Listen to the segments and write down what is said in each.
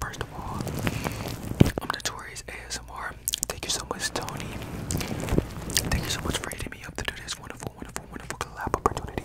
First of all, I'm Notorious ASMR. Thank you so much, Tony. Thank you so much for hitting me up to do this wonderful, wonderful, wonderful collab opportunity.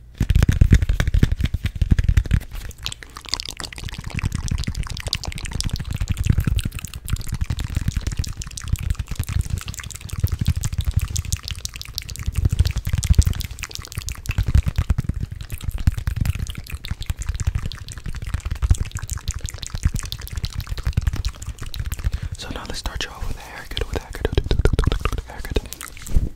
So now let's start you off with a haircut, with a haircut.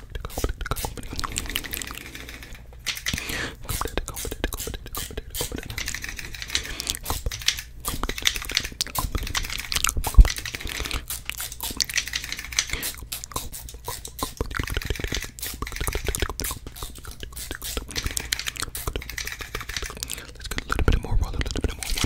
Let's get a little bit more water, a little bit more water.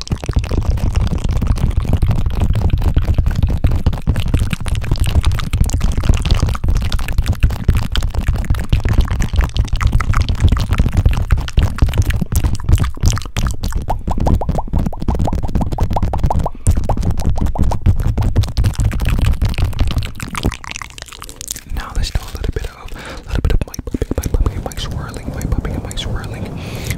Now let's do a little bit of a little bit of my puppy, my puppy, my swirling, my puppy, my swirling.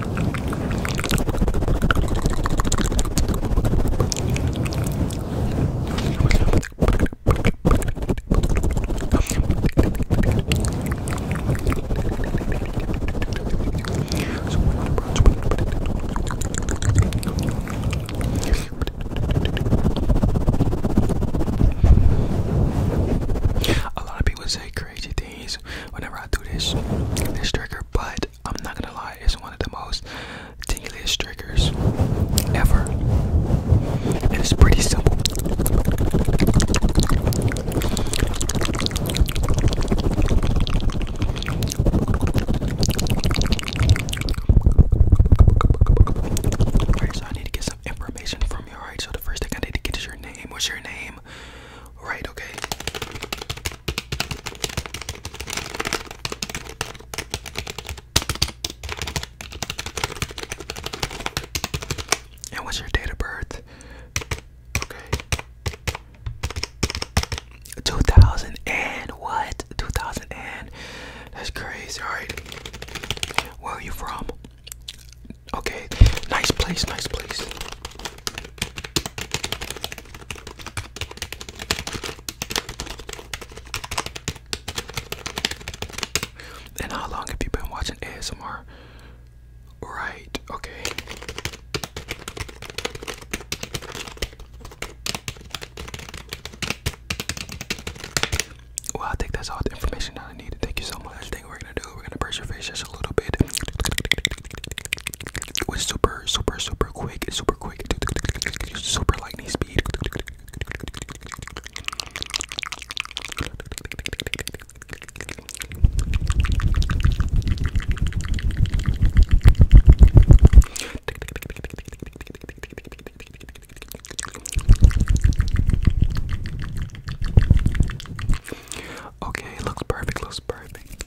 A lot of people say crazy things whenever I do this, this trigger, but I'm not gonna lie, it's one of the most tinglyest triggers ever. it's pretty simple. Alright, so I need to get some information from you, alright? So the first thing I need to get is your name. What's your name? Right, okay. And what's your date of birth? Okay. 2000 and what? 2000 and that's crazy. All right. Where are you from? Okay. Nice place, nice place. And how long have you been watching ASMR? Right, okay. Well, I think that's all the information that I needed. Thank you so much. I think we're gonna do, we're gonna brush your face just a little bit. It was super, super, super quick, super quick, super lightning speed. Okay, looks perfect, looks perfect.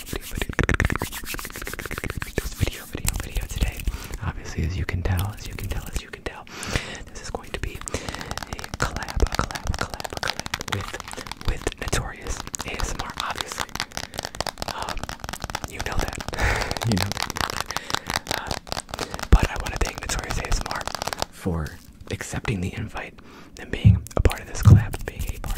video, video, video, video, video today. Obviously, as you can tell, as you can tell, as you can tell, this is going to be a collab, a collab, a collab, a collab with, with Notorious ASMR, obviously. Um, you know that. you know that. Uh, but I want to thank Notorious ASMR for accepting the invite and being a part of this collab, being a part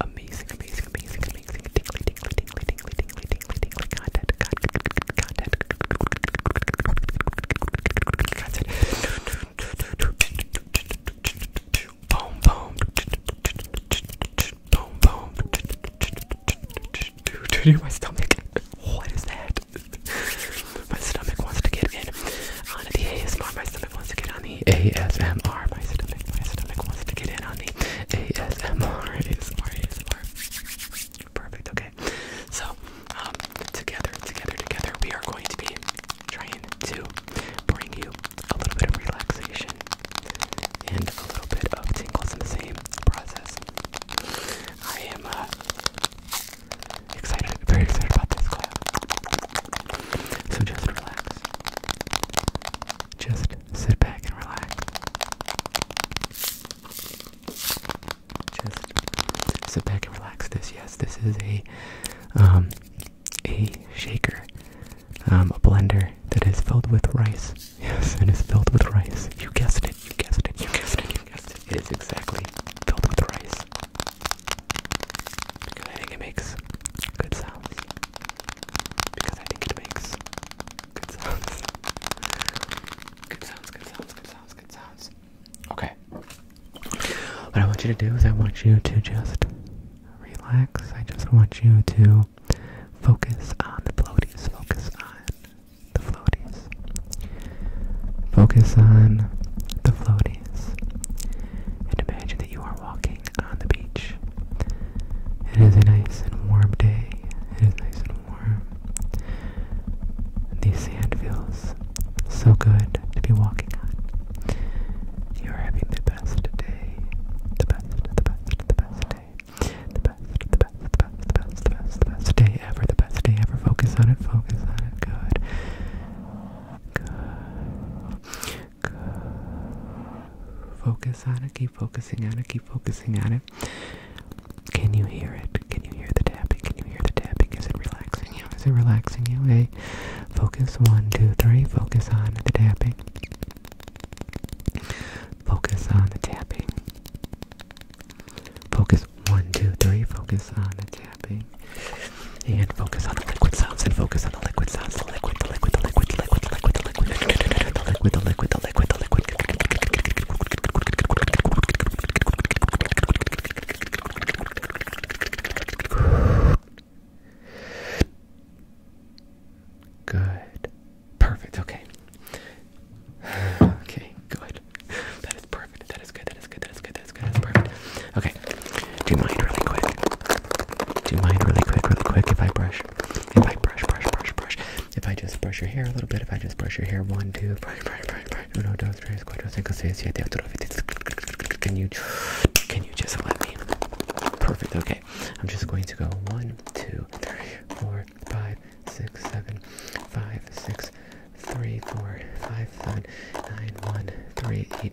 amazing, amazing, amazing, amazing, tingly, tingly, tingly, tingly, tingly, tingly, tingly content, content, content, boom, boom, boom, boom, do my stomach. What is that? My stomach wants to get in on the ASMR. My stomach wants to get on the ASMR. My stomach, my stomach wants to get in on the ASMR. ASMR, ASMR. Perfect. Okay. So, um, together, together, together, we are going to be trying to bring you a little bit of relaxation and a little bit of tingles in the same process. I am uh, excited, very excited about this class. So just relax. Just sit back and relax. Just sit back and relax. This, yes, this is a um, a shaker, um, a blender that is filled with rice. Yes, it is filled with rice. You guessed it. You guessed it. You guessed it. You guessed it. It is exactly filled with rice. Because I think it makes good sounds. Because I think it makes good sounds. Good sounds, good sounds, good sounds, good sounds. Okay. What I want you to do is I want you to just relax. I just want you to focus on the floaties. Focus on the floaties. Focus on the floaties. And imagine that you are walking walking on the beach. It is a nice and warm day. It is nice and warm. The sand feels so good to be walking on. You are having the best day. The best, the best, the best day. The best, the best, the best, the best, the best, the best day ever. The best day ever. Focus on it. Focus on it. Good. Good. Focus on it, keep focusing on it, keep focusing on it. Can you hear it? Can you hear the tapping? Can you hear the tapping? Is it relaxing you? Is it relaxing you? Hey, focus one, two, three, focus on the tapping. Focus on the tapping. Focus one, two, three, focus on the tapping breathing. And focus on the liquid sounds and focus on the liquid sounds. The liquid, the liquid, the liquid, the liquid, the liquid, the liquid, the liquid, the liquid, the liquid, the liquid. Good. Perfect. Okay. Okay. Good. That is perfect. That is good. That is good. That is good. That is good. That is good. Okay. Do mine really quick? Do mine really quick, really quick if I brush? If I brush, brush, brush, brush. If I just brush your hair a little bit, if I just brush your hair, one, two, brush, brush, brush, brush. Can you, can you just let me? Perfect. Okay. I'm just going to go one, two, three, four, five, six, seven, five, six, three, four, five, seven, nine, one, three, eight,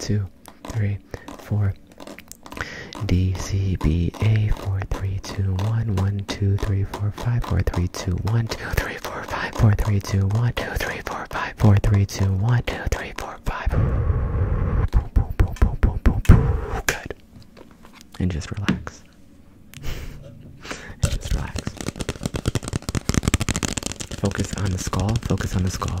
two, three, four. D C B A four three two one one two three four five four three two one two three four five four three two one two three four five four three two one two three four five. Good. And just relax. and just relax. Focus on the skull. Focus on the skull.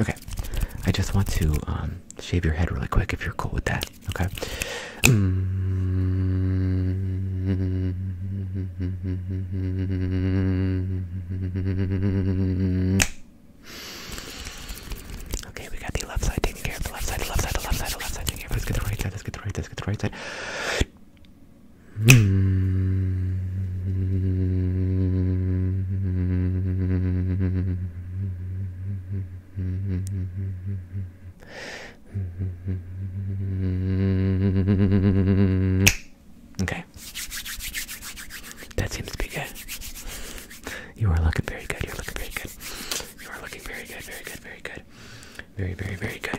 Okay, I just want to um, shave your head really quick if you're cool with that. Okay. Okay, we got the left side taken care of. The left side, the left side, the left side, the left side taken care of. Let's get the right side. Let's get the right side. Let's get the right side. Hmm. Okay. That seems to be good. You are looking very good. You're looking very good. You are looking very good. Very good. Very good. Very, very, very good.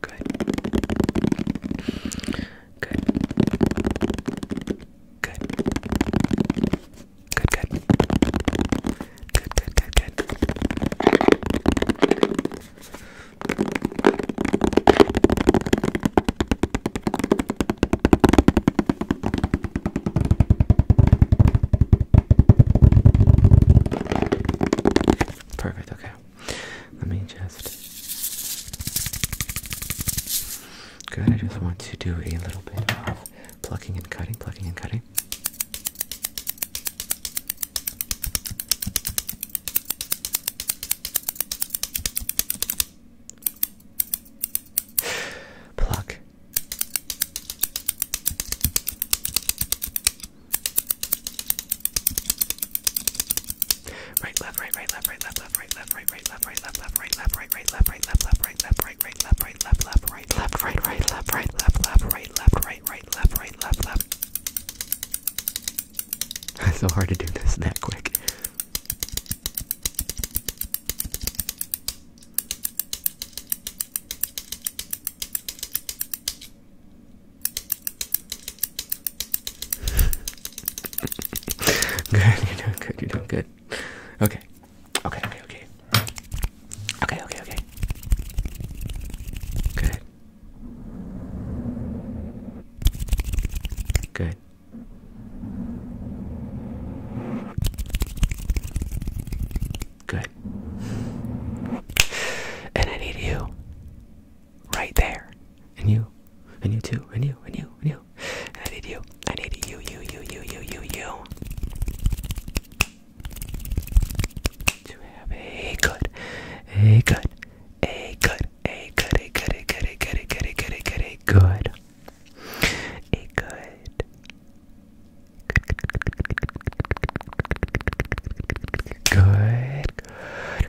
Good. Good. Good. Good, good. Good, Perfect, okay. Let me just. Good, I just want to do a little bit of plucking and cutting, plucking and cutting. Pluck. Right, left, right, right, left, right, left, left, right, left, right, left, right, left, left, right, left, right, right, left, right, left, left, right, left, right, right, left, right, left, left, right, left, right, right, left, right, left, left. It's so hard to do this that quick good, you're doing good, you're doing good. Okay. Okay, okay, okay. Okay, okay, okay. Good. Good. Good. And I need you right there. And you, and you too, and you, and you, and you. And I need you. I need you, you, you, you, you, you, you. To have a good, a good, a good, a good, a good, a good, a good, a good, a good, a good, a good, a good. Good, good,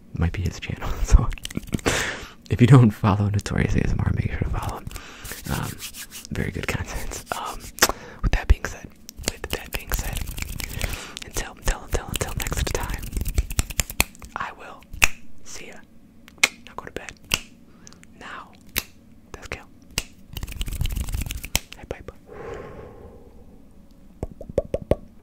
might be his channel. So if you don't follow Notorious ASMR, make sure to follow him. Um, very good content. Um, with that being said, with that being said, until until until until next time, I will see ya. Now go to bed. Now, let's go. Hey,